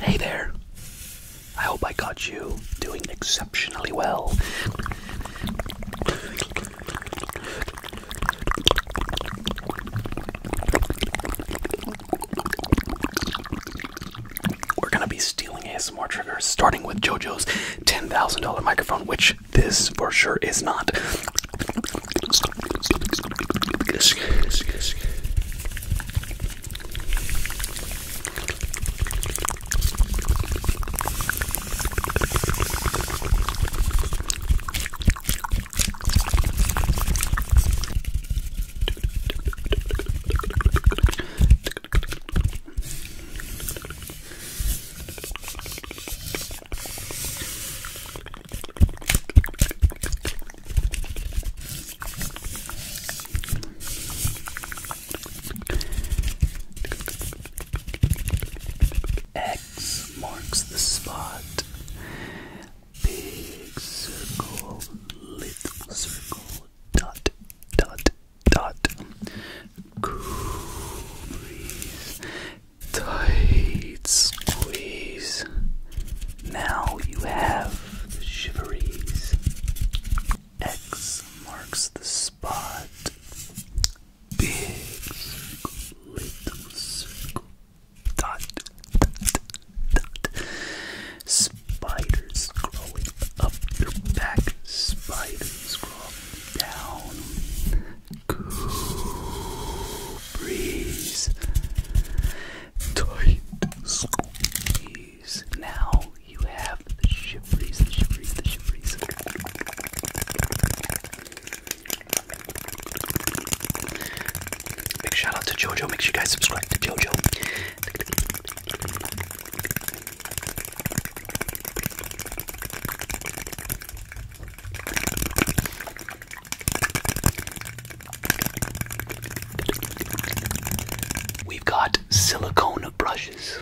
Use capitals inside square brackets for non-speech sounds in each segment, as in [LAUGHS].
Hey there. I hope I got you doing exceptionally well. We're gonna be stealing ASMR triggers, starting with JoJo's $10,000 microphone, which this for sure is not. X marks the spot. Big circle, little circle, dot, dot, dot. Cool breeze tight squeeze. Now you have the shiveries. X marks the spot. Big circle, dot, dot, dot. Spiders crawling up your back, spiders crawling down cool Tight squeeze. Now you have the shivries, the shivries, the shivries. Big shout out to Jojo. Make sure you guys subscribe to Jojo. We've got silicone brushes.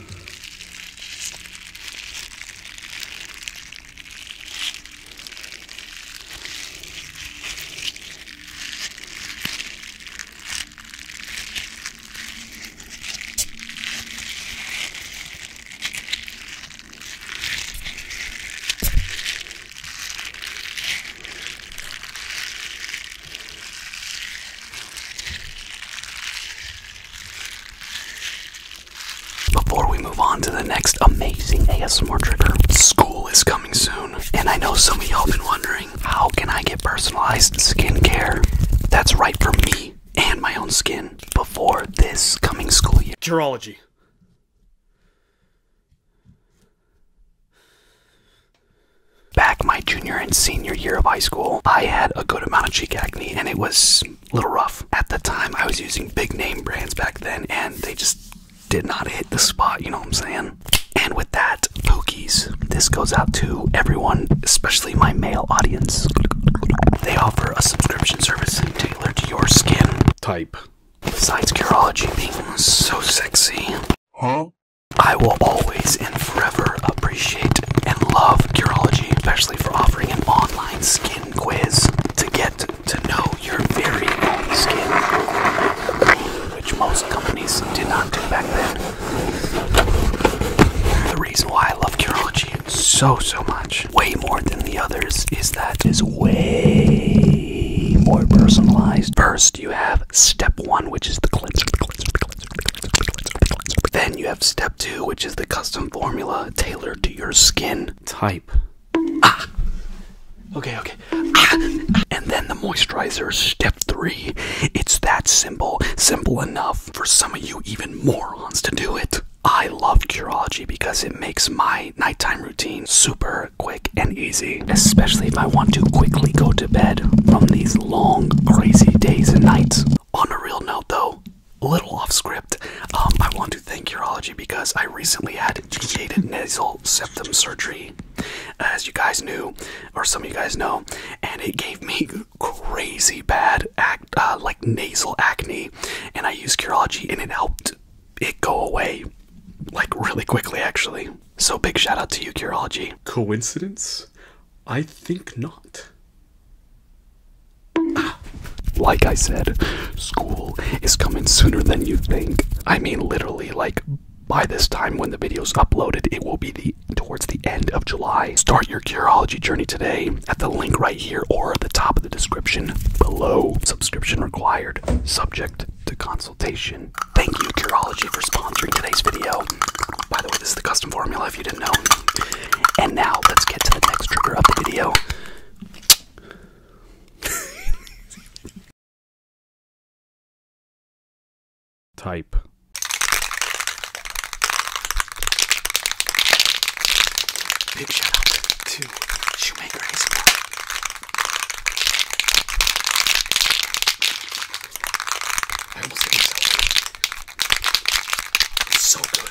Before we move on to the next amazing ASMR trigger, school is coming soon. And I know some of y'all been wondering, how can I get personalized skincare? That's right for me and my own skin before this coming school year. Gerology. Back my junior and senior year of high school, I had a good amount of cheek acne and it was a little rough. At the time, I was using big name brands back then and they just did not hit the spot, you know what I'm saying? And with that, Pookies, this goes out to everyone, especially my male audience. They offer a subscription service tailored to your skin type. Besides Curology being so sexy, huh? I will always and forever appreciate and love Curology, especially for offering an online skin quiz to get to know your very own skin, which most companies did not do back then. The reason why I love Curology so, so much way more than the others, is that is way more personalized. First, you have step one, which is the cleanser, the cleanser. Then you have step two, which is the custom formula tailored to your skin type. Ah. Okay, okay. Ah! and then the moisturizer, step three. It's that simple, simple enough for some of you even morons to do it. I love Curology because it makes my nighttime routine super quick and easy, especially if I want to quickly go to bed from these long, crazy days and nights. On a real note, though, a little off script, um, I want to thank Urology because I recently had jaded nasal septum surgery, as you guys knew, or some of you guys know, and it gave me [LAUGHS] crazy bad uh, like nasal acne, and I used Curology, and it helped it go away like really quickly, actually. So big shout out to you, Curology. Coincidence? I think not. Ah, like I said, school is coming sooner than you think. I mean, literally, like by this time when the video's uploaded, it will be the towards the end of July. Start your Curology journey today at the link right here or at the top the description below. Subscription required. Subject to consultation. Thank you, Curology, for sponsoring today's video. By the way, this is the custom formula if you didn't know. And now let's get to the next trigger of the video. Type. Big shout out to, to Shoemaker ASMR. I almost ate something. It's so good.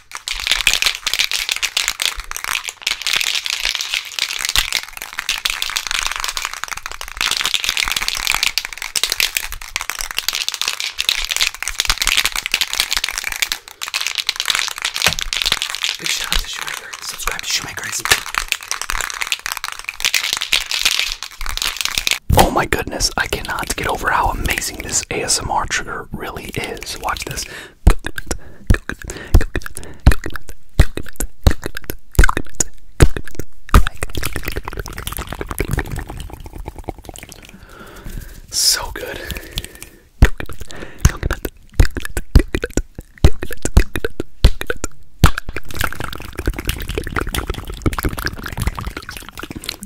Big shout out to Shoemaker. Subscribe to Shoemaker. Oh my goodness, I cannot get over how amazing this ASMR trigger really is. Watch this. So good.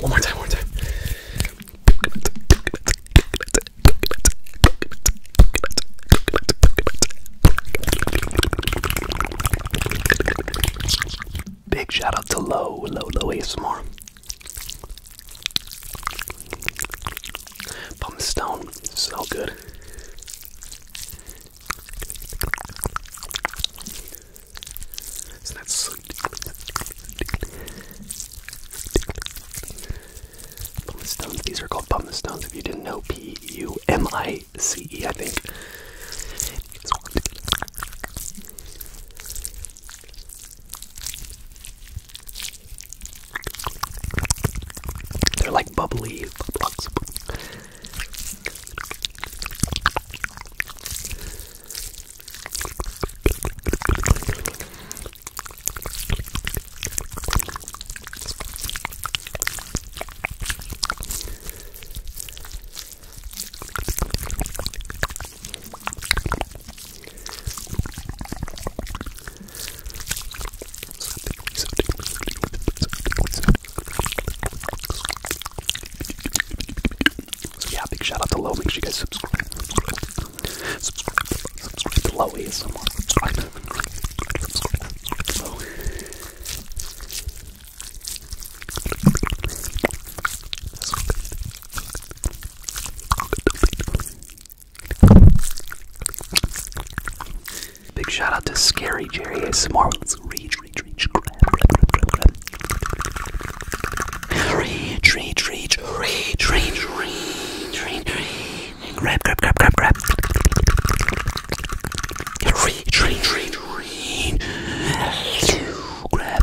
One more time, one more time. Big shout out to Low, Low, Low ASMR. Pumice stone, so good. Isn't that sweet? these are called pumice stones if you didn't know. P U M I C E, I think. They're like bubbly blocks. So yeah, big shout out to Low. Make sure you guys subscribe. Subscribe, subscribe, subscribe to Low ASMR. Subscribe, subscribe, subscribe to Low. So good. So good. Big shout out to Scary Jerry ASMR. Let's reach, reach, reach, grab, grab, grab, grab, grab. Reach, reach, reach, reach, reach, reach, reach, reach. Grab, grab, grab, grab, grab. Reach, reach, reach, reach. Grab.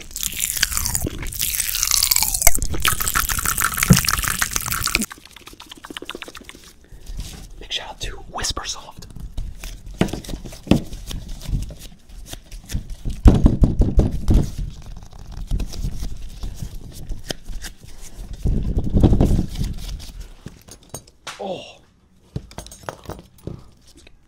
Big shout out to Whispersoft. Oh.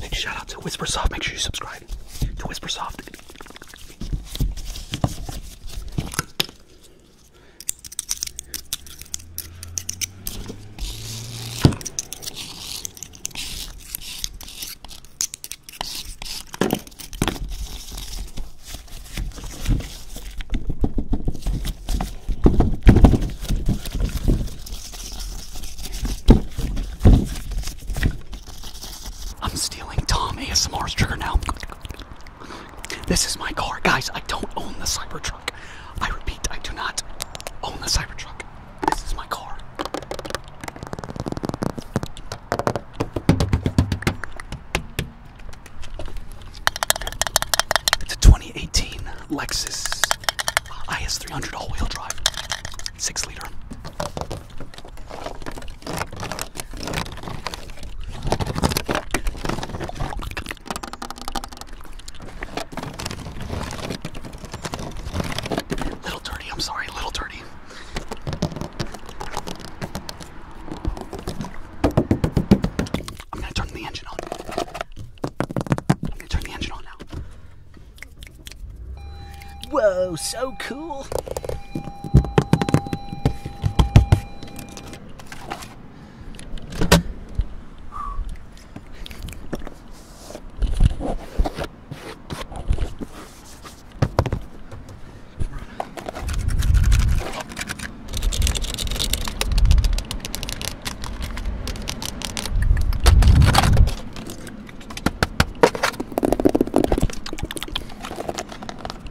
Big shout out to WhisperSoft. Make sure you subscribe to WhisperSoft. I'm stealing Tom ASMR's trigger now. This is my car. Guys, I don't own the Cybertruck. I repeat, I do not own the Cybertruck. This is my car. It's a 2018 Lexus IS 300 all-wheel drive, six liter. Little dirty, I'm sorry, little dirty. I'm gonna turn the engine on. I'm gonna turn the engine on now. Whoa, so cool.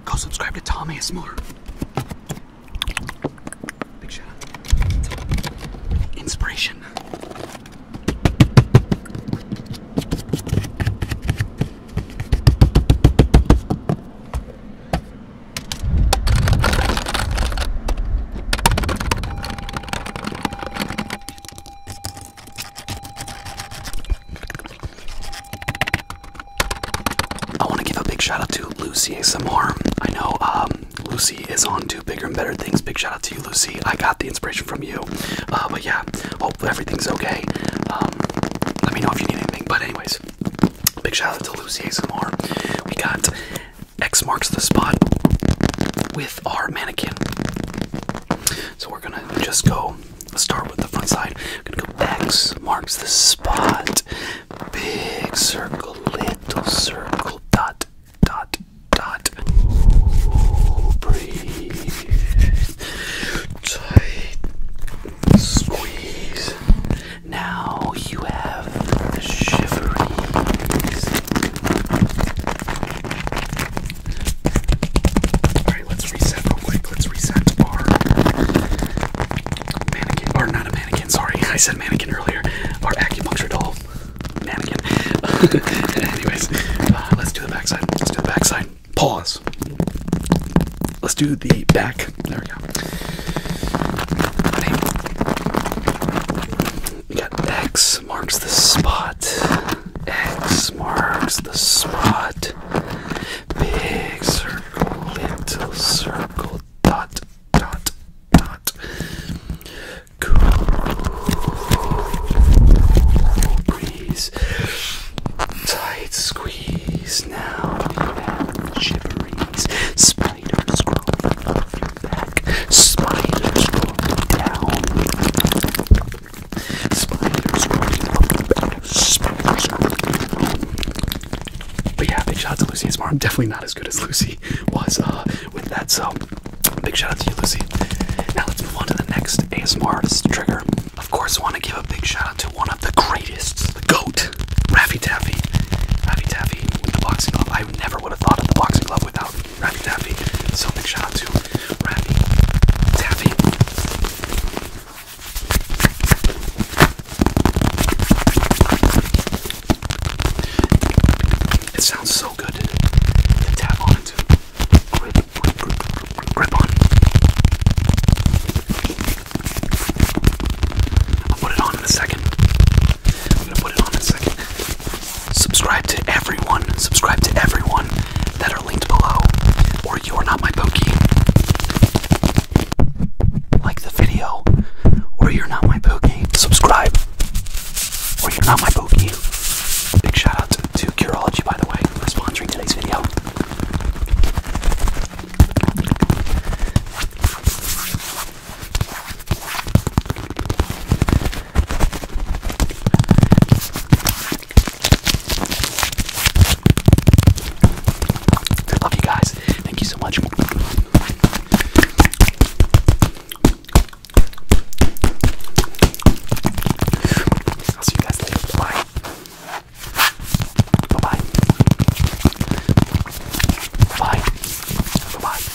Go subscribe to Tommy ASMR. Big shout out. Inspiration. I want to give a big shout out to Lucy ASMR. I know um, Lucy is on to bigger and better things. Big shout out to you, Lucy. I got the inspiration from you. Uh, but yeah, hope everything's okay. Um, let me know if you need anything. But anyways, big shout out to Lucy ASMR. We got X marks the spot with our mannequin. So we're gonna just go start with the front side. gonna go X marks the spot. Big circle, little circle, dot, dot, dot. breathe. Tight. Squeeze. Now you have the shiveries. Alright, let's reset real quick. Let's reset our mannequin. Or not a mannequin, sorry. [LAUGHS] I said mannequin earlier. Our acupuncture doll. Mannequin. [LAUGHS] Anyways, uh, let's do the backside. Let's do the backside. Pause. Let's do the back. There we go got X marks the spot. X marks the spot. Big circle, little circle, dot, dot, dot. Cool breeze. Tight squeeze now. You have jibberings. Spiders back. But yeah, big shout out to Lucy I'm Definitely not as good as Lucy was uh, with that. So big shout out to you, Lucy. Now let's move on to the next ASMR artist trigger. Of course, I want to give a big shout out to one of the greatest, the GOAT, Raffy Taffy. Raffy Taffy with the boxing glove. I never would have thought of the boxing glove without Rappy Taffy. So big shout out to Rappy Taffy. It sounds so good to tap on Grip, on. put it on in a second. I'm gonna put it on in a second. Subscribe to everyone. Subscribe to everyone that are linked below, or you are not my pokey. Like the video, or you're not my pokey. Subscribe, or you're not my pokey. Big shout out to, to Curology, by the way, for sponsoring today's video. Love you guys. Thank you so much. I'll see you guys later. Bye. Bye bye. Bye. Bye bye.